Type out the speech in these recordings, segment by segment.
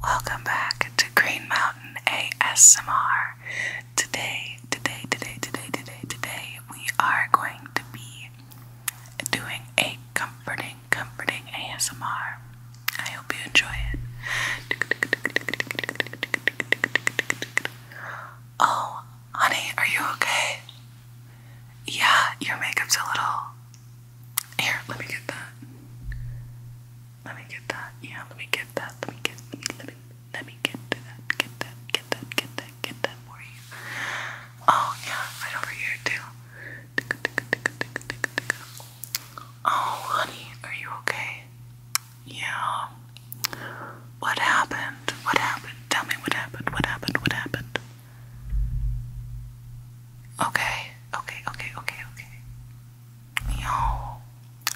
Welcome back to Green Mountain ASMR. Today, today, today, today, today, today, we are going to be doing a comforting, comforting ASMR. I hope you enjoy it. Oh, honey, are you okay? Yeah, your makeup's a little. Here, let me get that. Let me get that. Yeah, let me get that. Let me get. Let me. Let me, get that. Get that. Get that. Get that. Get that for you. Oh yeah, right over here too. Oh honey, are you okay? Yeah. What happened? What happened? Tell me what happened. What happened? What happened? Okay. Okay. Okay. Okay. Okay. Yo.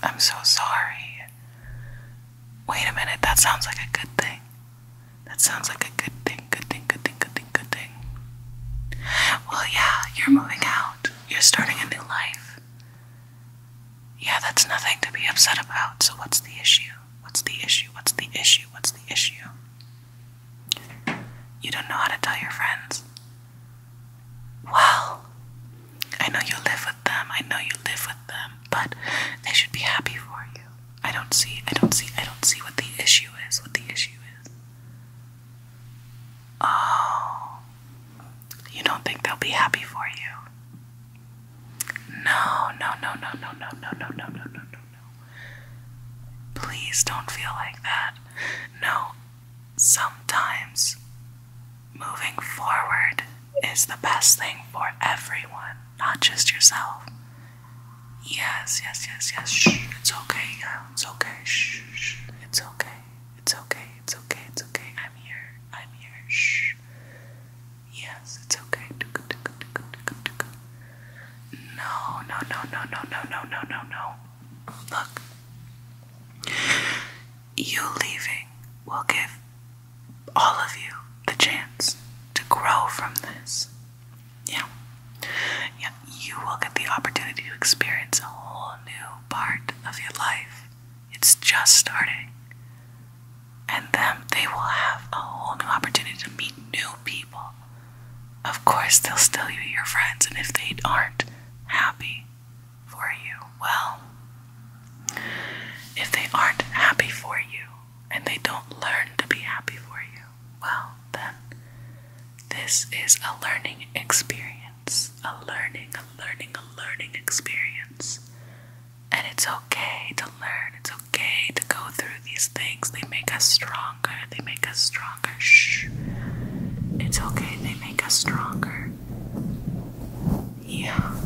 I'm so sorry. Wait a minute. That sounds like a good thing. That sounds like a good thing. Good thing. Good thing. Good thing. Good thing. Well, yeah. You're moving out. You're starting a new life. Yeah, that's nothing to be upset about. So, what's the issue? What's the issue? What's the issue? What's the issue? You don't know how to tell your friends. Well, I know you live with them. I know you live with them, but they should be happy for you. I don't see, I don't see, I don't see what the issue is. What the issue is. Oh, you don't think they'll be happy for you? No, no, no, no, no, no, no, no, no, no, no, no, no. Please don't feel like that. No, sometimes moving forward is the best thing for everyone, not just yourself. Yes, yes, yes, yes. it's okay. it's okay. it's okay. It's okay, it's okay, it's okay. I'm here, I'm here. Shh. Yes, it's okay. No, no, no, no, no, no, no, no, no, Look. You leaving will give all of you the chance to grow from this. Yeah. Yeah, you will get the opportunity to experience a whole new part of your life. It's just starting. And them, they will have a whole new opportunity to meet new people. Of course, they'll still be your friends, and if they aren't happy for you, well, if they aren't happy for you and they don't learn to be happy for you, well, then this is a learning experience. It's a learning, a learning, a learning experience. And it's okay to learn, it's okay to go through these things. They make us stronger, they make us stronger. Shh. It's okay, they make us stronger. Yeah.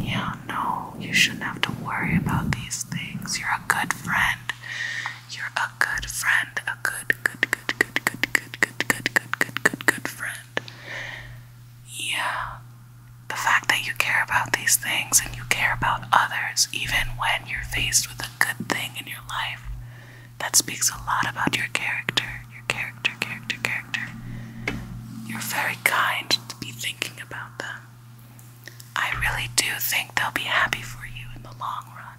Yeah, no, you shouldn't have to worry about these things. You're a good friend. You're a good friend, a good good, good, good, good, good, good, good, good, good, good, good, friend. Yeah. The fact that you care about these things and you care about others, even when you're faced with a good thing in your life, that speaks a lot about your character. Your character, character, character. You're very kind to be thinking about them. I really do think they'll be happy for you in the long run.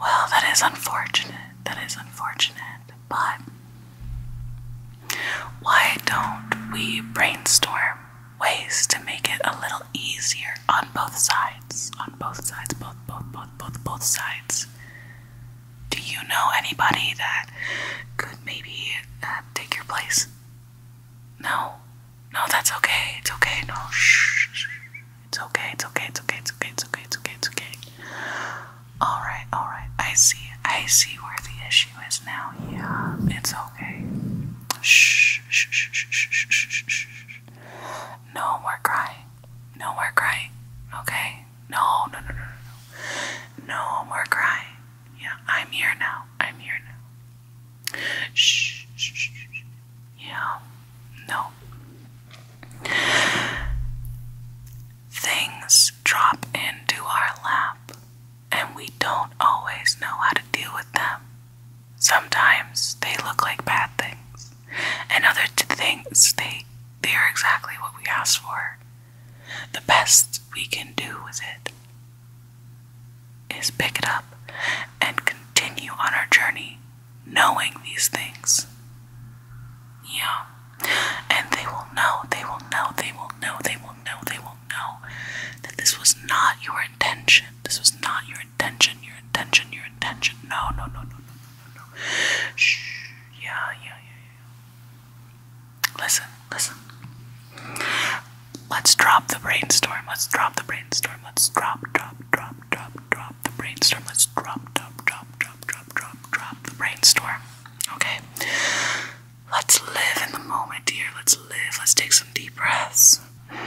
Well, that is unfortunate. That is unfortunate. But why don't we brainstorm ways to make it a little easier on both sides? On both sides, both, both, both, both, both sides. Do you know anybody that could maybe uh, take your place? No, no, that's okay. It's okay. No, it's okay, it's okay, it's okay, it's okay, it's okay, it's okay, it's okay. Alright, alright. I see I see where the issue is now. Yeah, it's okay. Shh shh shh shh shh shh shh. No more crying. No more crying. Okay? No, no, no, no, no. No more crying. Yeah, I'm here now. I'm here now. shh shh. Yeah, no. Things drop into our lap, and we don't always know how to deal with them. Sometimes they look like bad things, and other things they they are exactly what we asked for. The best we can do with it is pick it up and continue on our journey knowing these things. Yeah. And they will know, they will know, they will know, they will know, they will know that this was not your intention. This was not your intention, your intention, your intention. No, no, no, no, no, no, no, Shh. yeah, yeah, yeah. Listen, listen. Let's drop the brainstorm. Let's drop the brainstorm. Let's drop, drop, drop, drop, drop, the brainstorm. Let's drop, drop, drop, drop, drop, drop, drop the brainstorm. Okay? Let's live in the moment, dear. Let's live. Let's take some deep breaths.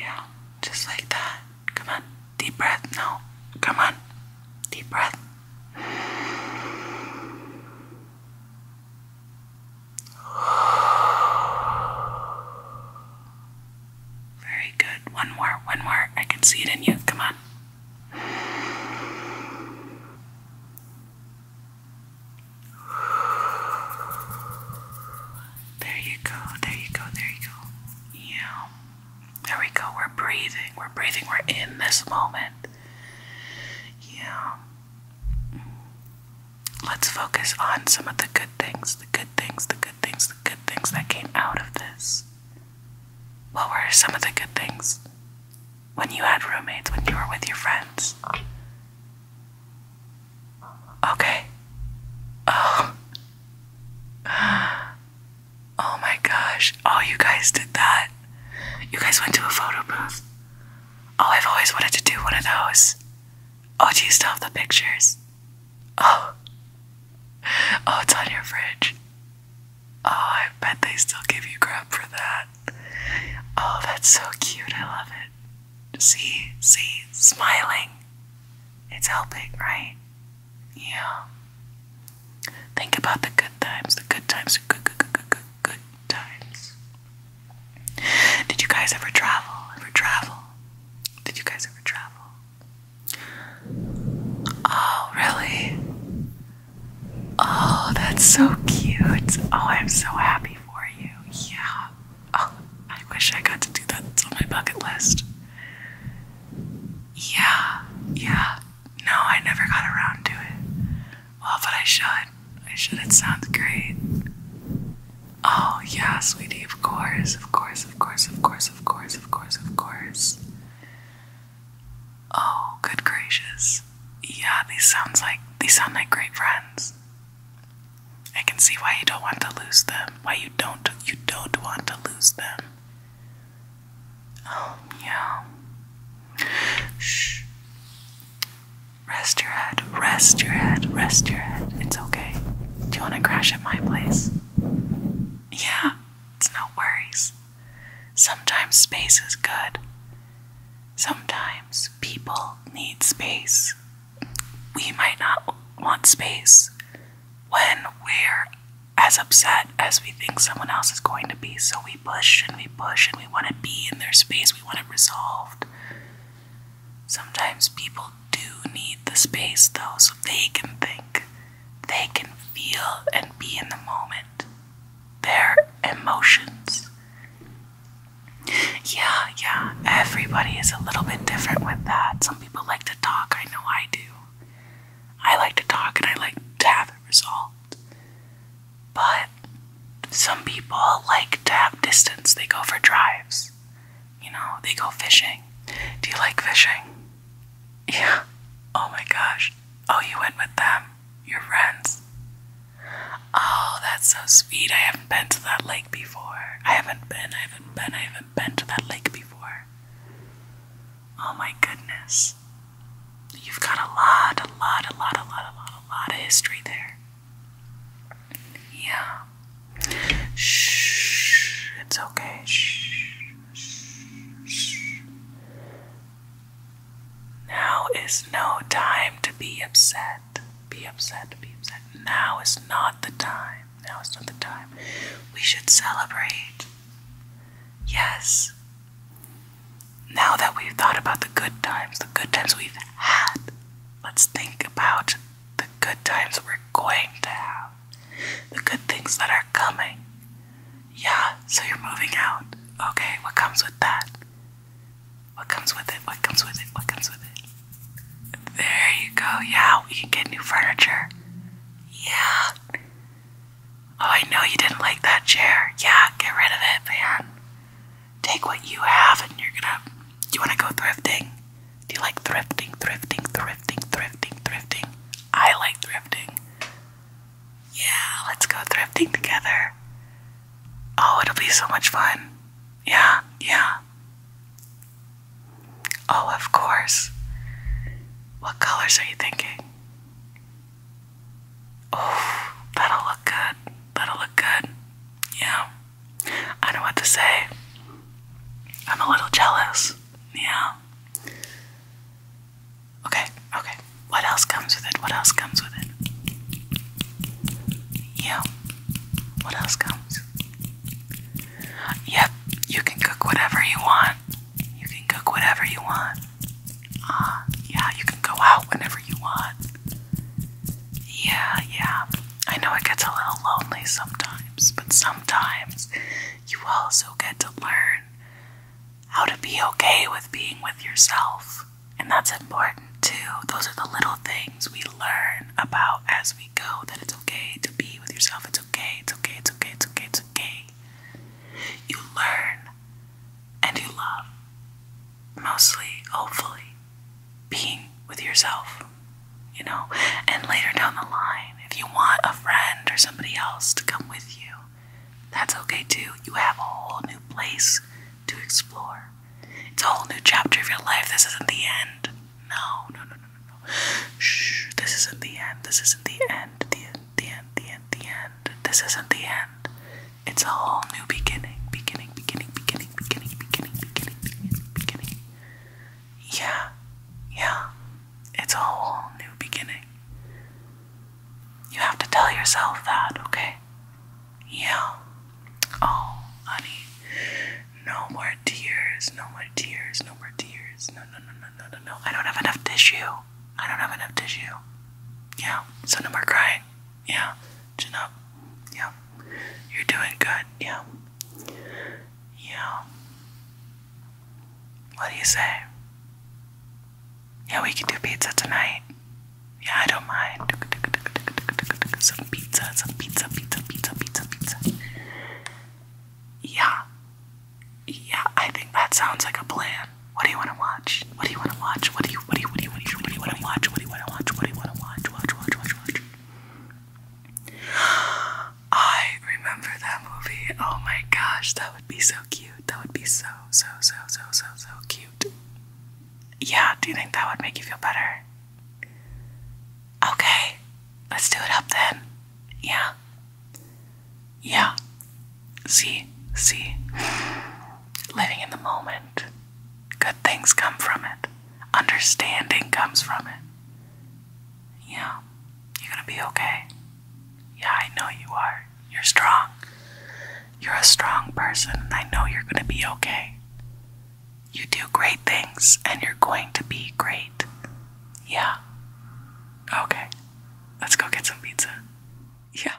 Yeah, just like that. Come on. Deep breath. No. Come on. Deep breath. Very good. One more, one more. I can see it in you. Come on. There you go, there you go, there you go. Yeah. There we go. We're breathing. We're breathing. We're in this moment. Yeah let's focus on some of the good things, the good things, the good things, the good things that came out of this. What were some of the good things when you had roommates, when you were with your friends? Okay. Oh. Oh my gosh. Oh, you guys did that. You guys went to a photo booth. Oh, I've always wanted to do one of those. Oh, do you still have the pictures? Oh. Oh, it's on your fridge. Oh, I bet they still give you crap for that. Oh, that's so cute. I love it. See, see, smiling. It's helping, right? Yeah. Think about the good times. The good times are good, good, good, good, good times. Did you guys ever travel? Ever travel? Did you guys ever travel? Oh, really? Oh, that's so cute. Oh, I'm so happy for you. Yeah. Oh, I wish I got to do that. It's on my bucket list. Yeah, yeah. No, I never got around to it. Well, but I should. God, I should. It sounds great. Oh, yeah, sweetie, of course, of course, of course, of course, of course, of course, of course. Oh, good gracious. Yeah, these sounds like these sound like great friends. I can see why you don't want to lose them. Why you don't you don't want to lose them. Oh, yeah. Shh. Rest your head, rest your head, rest your head. It's okay. Do you want to crash at my place? Yeah, it's no worries. Sometimes space is good. Sometimes people need space. We might not want space when we're as upset as we think someone else is going to be. So we push and we push and we want to be in their space. We want it resolved. Sometimes people do need the space though, so they can think, they can feel and be in the moment. Their emotions. Yeah, yeah, everybody is a little bit different with that. Some people like to talk, I know I do. I like to talk and I like to have it resolved. But some people like to have distance. They go for drives. You know, they go fishing. Do you like fishing? Yeah. Oh my gosh. Oh, you went with them? Your friends? Oh, that's so sweet. I haven't been to that lake before. I haven't been, I haven't been, I haven't been to that lake before. Oh my goodness. You've got a lot, a lot, a lot, a lot, a lot, a lot of history there. Yeah. Shh. It's okay. Shh. Shh. Now is no time to be upset. Be upset. Be upset. Now is not the time. Now is not the time. We should celebrate. Yes. Now that we've thought about the good times, the good times we've had, Let's think about the good times we're going to have, the good things that are coming. Yeah, so you're moving out. Okay, what comes with that? What comes with it? What comes with it? What comes with it? There you go. Yeah, we can get new furniture. Yeah. Oh, I know you didn't like that chair. Yeah, get rid of it, man take what you have and you're gonna do you wanna go thrifting? Do you like thrifting, thrifting, thrifting, thrifting, thrifting? I like thrifting. Yeah, let's go thrifting together. Oh, it'll be so much fun. Yeah, yeah. Oh, of course. What colors are you thinking? Oh, that'll look good. That'll look good. Yeah. I know what to say. I'm a little jealous. Yeah. Okay, okay. What else comes with it? What else comes with it? Yeah. What else comes? Yep, you can cook whatever you want. You can cook whatever you want. Uh, yeah, you can go out whenever you want. Yeah, yeah. I know it gets a little lonely sometimes, but sometimes you also get to learn how to be okay with being with yourself. And that's important too. Those are the little things we learn about as we go that it's okay to be with yourself. It's okay, it's okay, it's okay, it's okay, it's okay. You learn and you love mostly, hopefully, being with yourself, you know. And later down the line, if you want a friend or somebody else to come with you, that's okay too. You have a whole new place to explore. It's a whole new chapter of your life. This isn't the end. No, no, no, no, no, no. Shh, this isn't the end. This isn't the end. The end, the end, the end, the end. This isn't the end. It's a whole new beginning, beginning, beginning, beginning, beginning, beginning, beginning, beginning, beginning. Yeah, yeah, it's a whole new beginning. You have to tell yourself that, okay? Yeah. Oh, honey, no more tears, no more tears, no more tears. No, no, no, no, no, no, no. I don't have enough tissue. I don't have enough tissue. Yeah, so no more crying. Yeah. Chin Yeah. You're doing good. Yeah. Yeah. What do you say? Yeah, we can do pizza tonight. Yeah, I don't mind. Some pizza, some pizza, pizza, pizza, pizza, pizza. Yeah. Yeah, I think that sounds like a plan. What do you want to watch? What do you want to watch? What do you what do you, want to watch? What do you want to watch? What do you want to watch? Watch, watch, watch, watch. I remember that movie. Oh my gosh, that would be so cute. That would be so, so, so, so, so, so cute. Yeah, do you think that would make you feel better? Okay, let's do it up then. Yeah. Yeah. See, see. Living in the moment. Good things come from it. Understanding comes from it. Yeah, you're gonna be okay. Yeah, I know you are. You're strong. You're a strong person, I know you're gonna be okay. You do great things, and you're going to be great. Yeah. Okay, let's go get some pizza. Yeah.